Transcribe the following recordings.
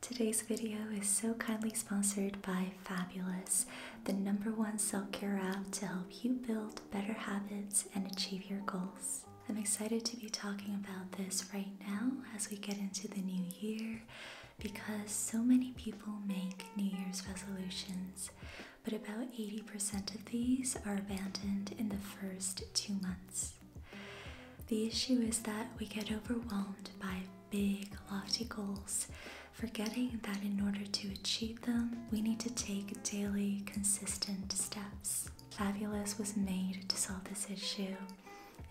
Today's video is so kindly sponsored by Fabulous, the number one self care app to help you build better habits and achieve your goals. I'm excited to be talking about this right now as we get into the new year because so many people make New Year's resolutions, but about 80% of these are abandoned in the first two months. The issue is that we get overwhelmed by big, lofty goals, forgetting that in order to achieve them, we need to take daily, consistent steps. Fabulous was made to solve this issue.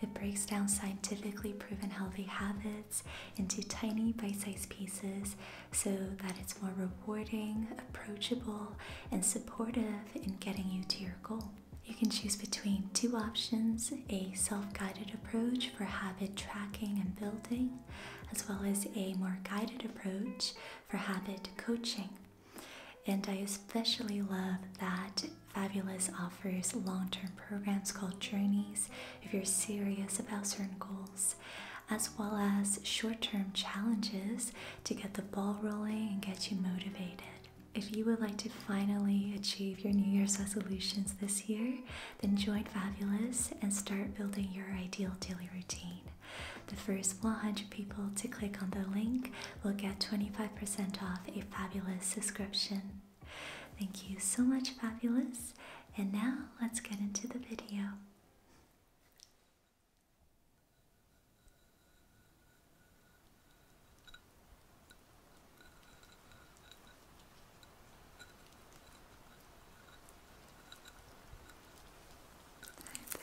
It breaks down scientifically proven healthy habits into tiny bite sized pieces so that it's more rewarding, approachable, and supportive in getting you to your goal. You can choose between two options a self guided approach for habit tracking and building, as well as a more guided approach for habit coaching. And I especially love that Fabulous offers long term programs called Journeys if you're serious about certain goals, as well as short term challenges to get the ball rolling and get you motivated. If you would like to finally achieve your New Year's resolutions this year, then join Fabulous and start building your ideal daily routine. The first 100 people to click on the link will get 25% off a Fabulous subscription. Thank you so much, Fabulous, and now let's get into the video.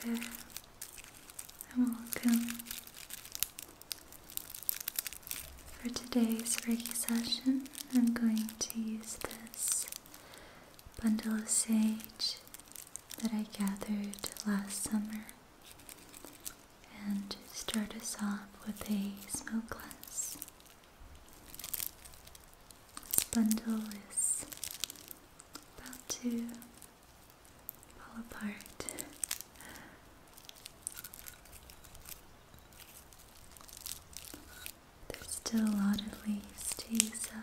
Hi there, and welcome for today's Reiki session. I'm going to use this bundle of sage that I gathered last summer and start us off with a smoke glass. This bundle is about to fall apart. There's still a lot of leaves to use up.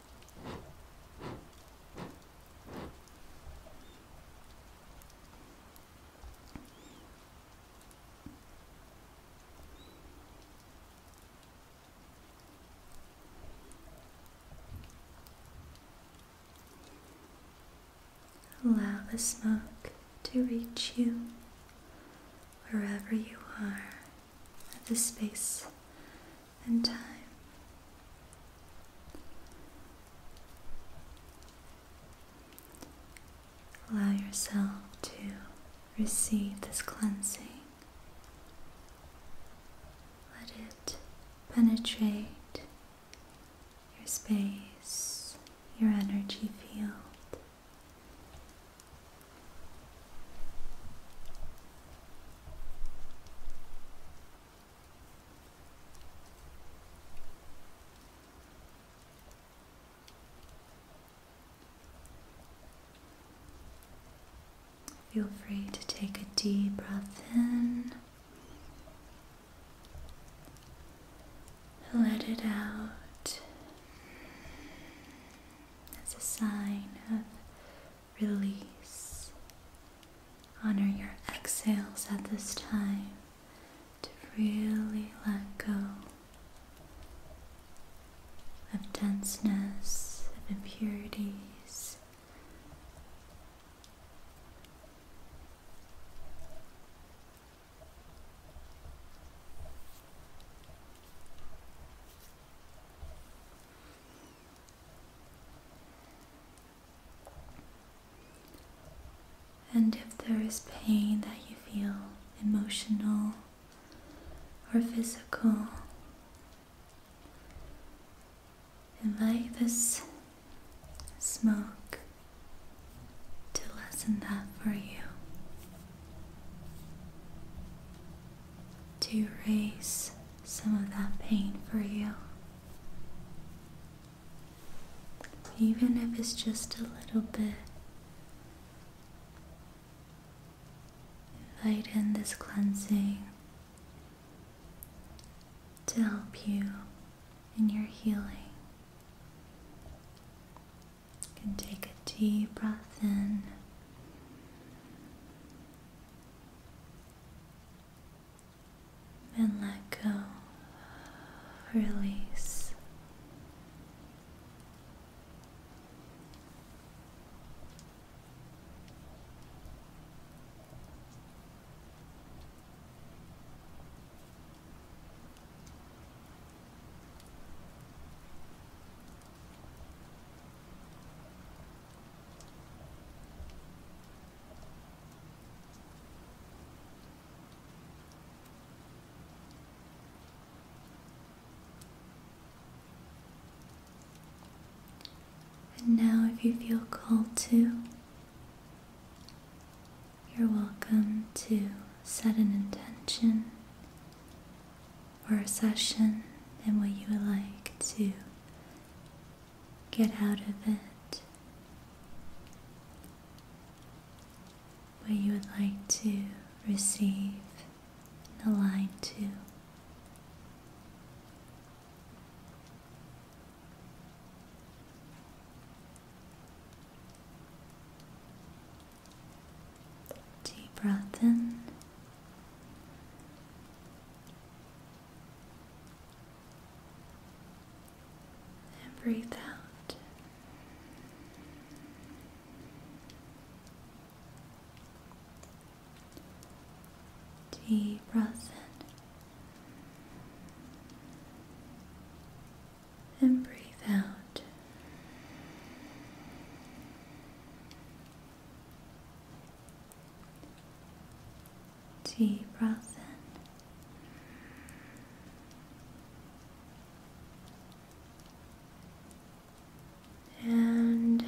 Allow the smoke to reach you wherever you are at this space and time. Allow yourself to receive this cleansing. Let it penetrate your space, your energy field. Feel free to take a deep breath in, let it out as a sign of release. Honor your exhales at this time to really let go of denseness, of impurities. And if there is pain that you feel, emotional or physical, invite this smoke to lessen that for you, to erase some of that pain for you. Even if it's just a little bit, invite in this cleansing to help you in your healing. can take a deep breath in and let go, release. And now, if you feel called to, you're welcome to set an intention or a session and what you would like to get out of it, what you would like to receive and align to. Deep breath in and breathe out. Deep breath in and breathe out. Deep breath in. And out.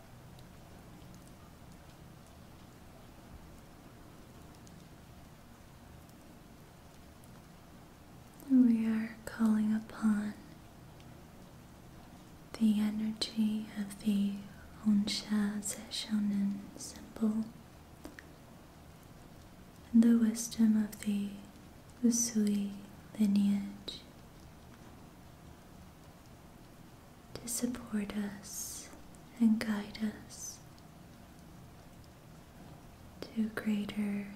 we are calling upon the energy of the Onsha Seshonen symbol and the wisdom of the Usui lineage to support us and guide us to a greater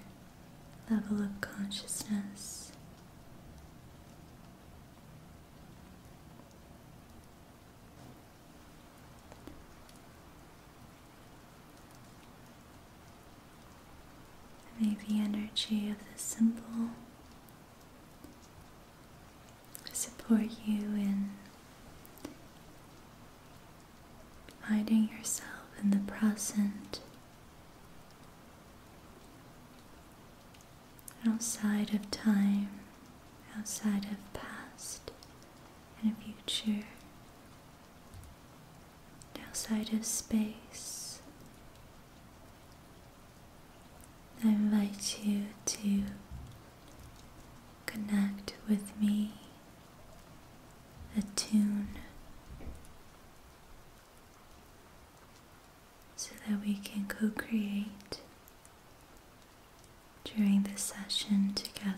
level of consciousness. May the energy of the symbol support you in finding yourself in the present outside of time, outside of past and future, outside of space. I invite you to connect with me, attune, so that we can co create during this session together.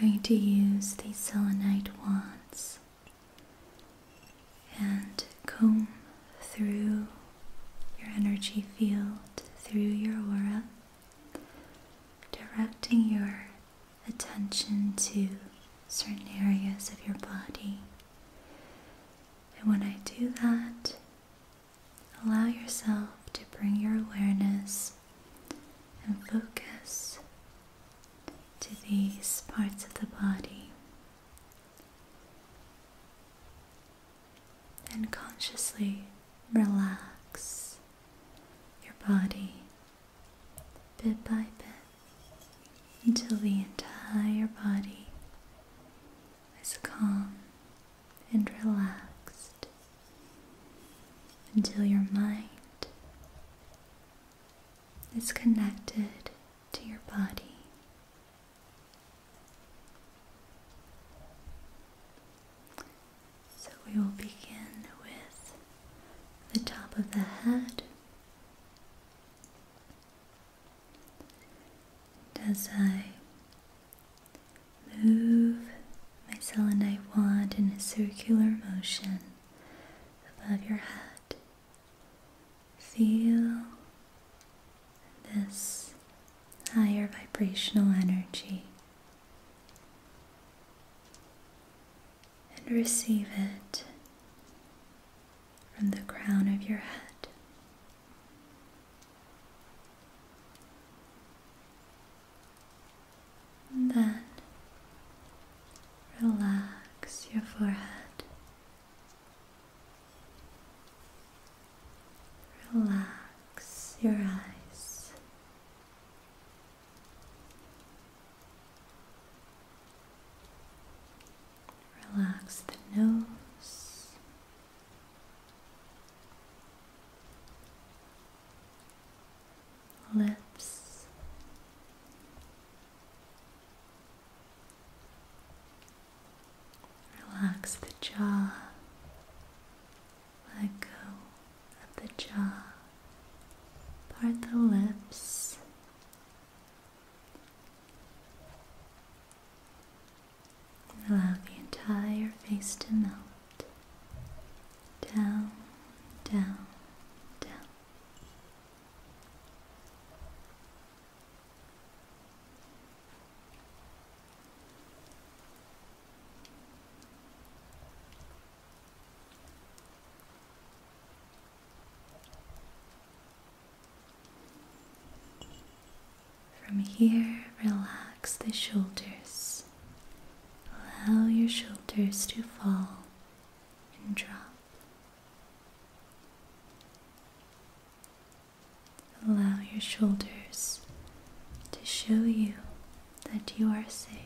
going to use the selenite wands and comb through your energy field, through your aura, directing your attention to certain areas of your body. And when I do that, allow yourself to bring your awareness and focus to these parts of the body. And consciously relax your body bit by bit until the entire body is calm and relaxed, until your mind is connected to your body. So we will begin with the top of the head. as I move my selenite wand in a circular motion above your head, feel this higher vibrational energy and receive it from the crown of your head. then relax your forehead. Relax your eyes. Relax the nose. Lips, relax the jaw, let go of the jaw. Part the lips. And allow the entire face to melt. Down, down, down. From here, relax the shoulders. Allow your shoulders to fall and drop. Allow your shoulders to show you that you are safe.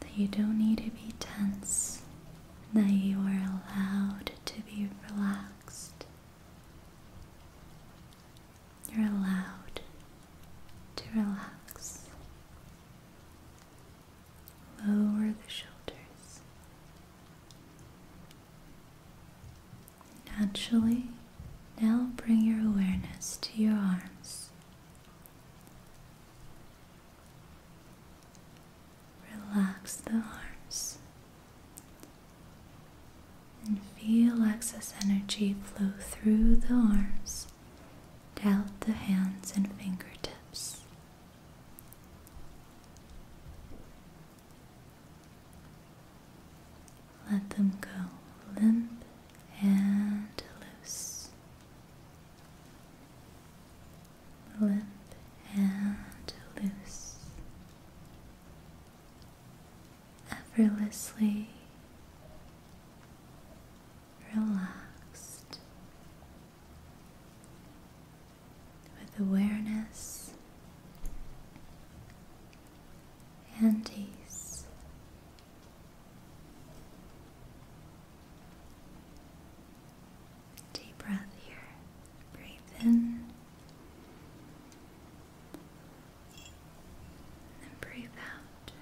That you don't need to be tense, that you are allowed to be relaxed. You're allowed to relax. Lower the shoulders. Naturally, now bring your awareness to your arms. Relax the arms and feel excess energy flow through the arms, out the hands and fingertips. Let them go limp and loose. Limp and loose. Effortlessly relaxed with awareness and ease. Deep breath here. Breathe in and breathe out.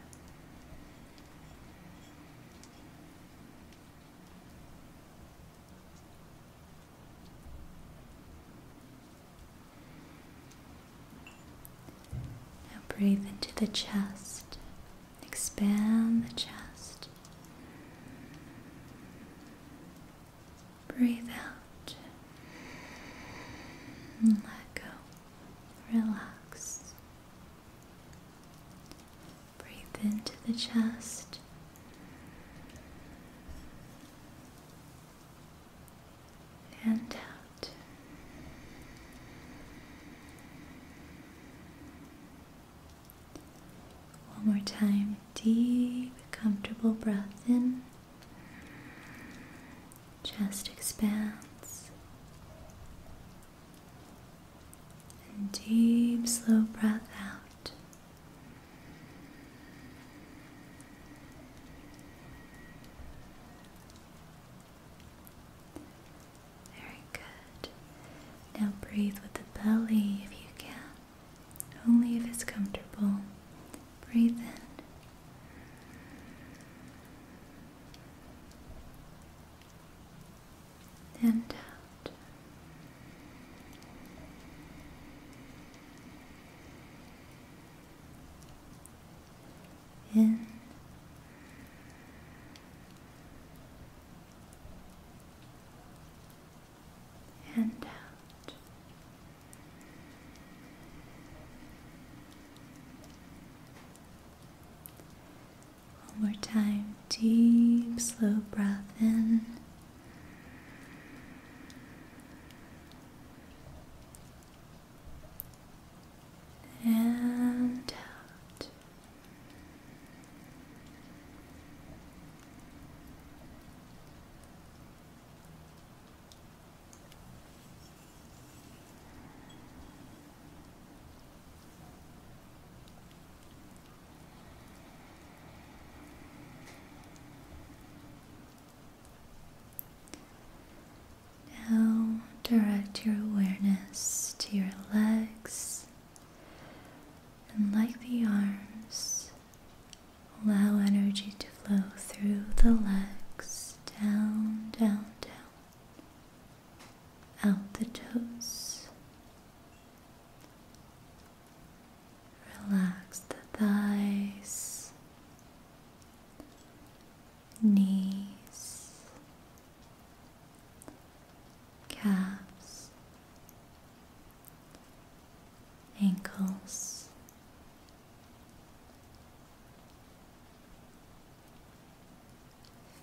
Now breathe into the chest, expand the chest. Breathe out let go. Relax. Breathe into the chest and out. One more time, deep, comfortable breath in. Chest expands. And deep, slow breath out. Very good. Now breathe with the belly if you can, only if it's comfortable. Breathe in. And out in and out. One more time, deep, slow breath in and out. Now direct your awareness to your legs and, like the arms, allow energy to flow through the legs down, down, down, out the toes. Relax the thighs, knees, calves, ankles.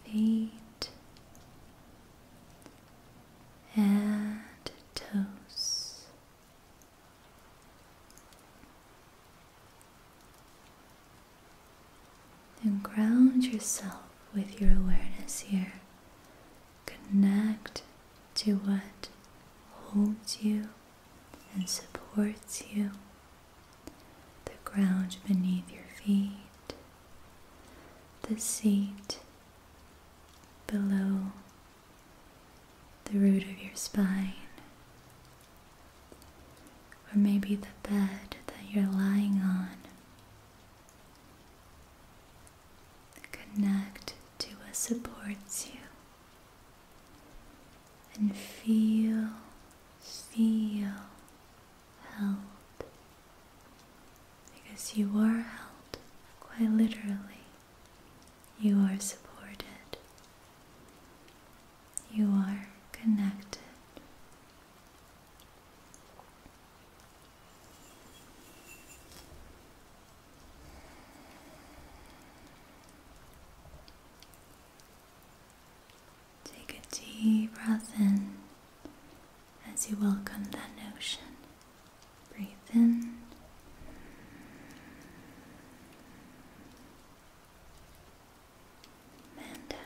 Feet and toes, and ground yourself with your awareness here. Connect to what holds you and supports you. The ground beneath your feet, the seat below the root of your spine, or maybe the bed that you're lying on. Connect to what supports you and feel, feel held because you are held quite literally you are supported. You are connected. Take a deep breath in as you welcome that notion. Breathe in and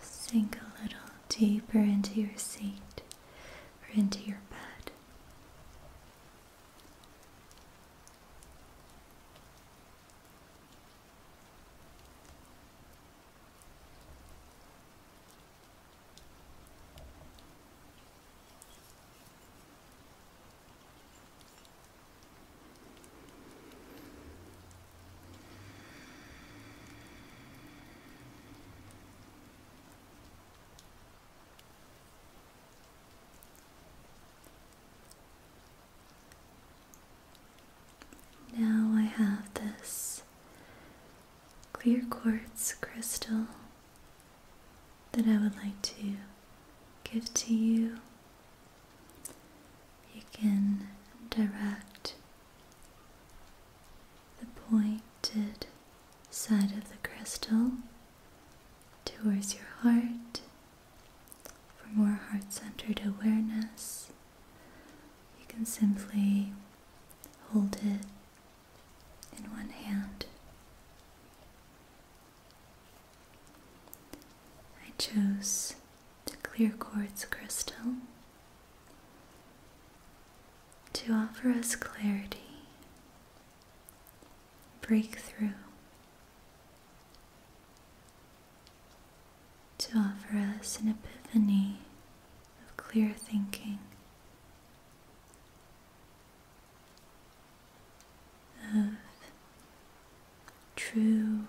Sink a little deeper into your seat or into your bed. Now I have this clear quartz crystal that I would like to give to you. You can direct the pointed side of the crystal towards your heart for more heart centered awareness. You can simply hold it in one hand. I chose the clear quartz crystal to offer us clarity, breakthrough, to offer us an epiphany of clear thinking of true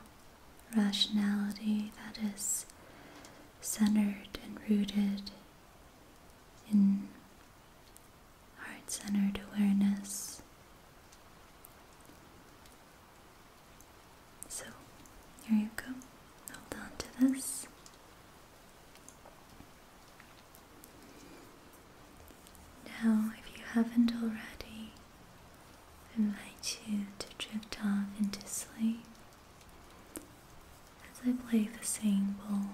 rationality that is centered and rooted in heart centered awareness. So, here you go. Hold on to this. Now, if you haven't already, invite you to drift off into sleep as I play the singing bowl.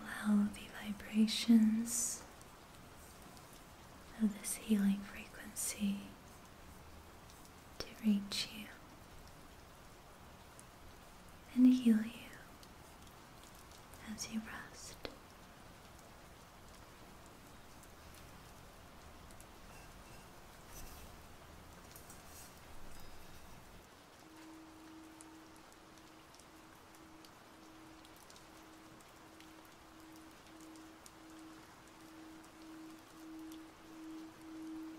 Allow the vibrations of this healing frequency to reach you and heal you as you rest.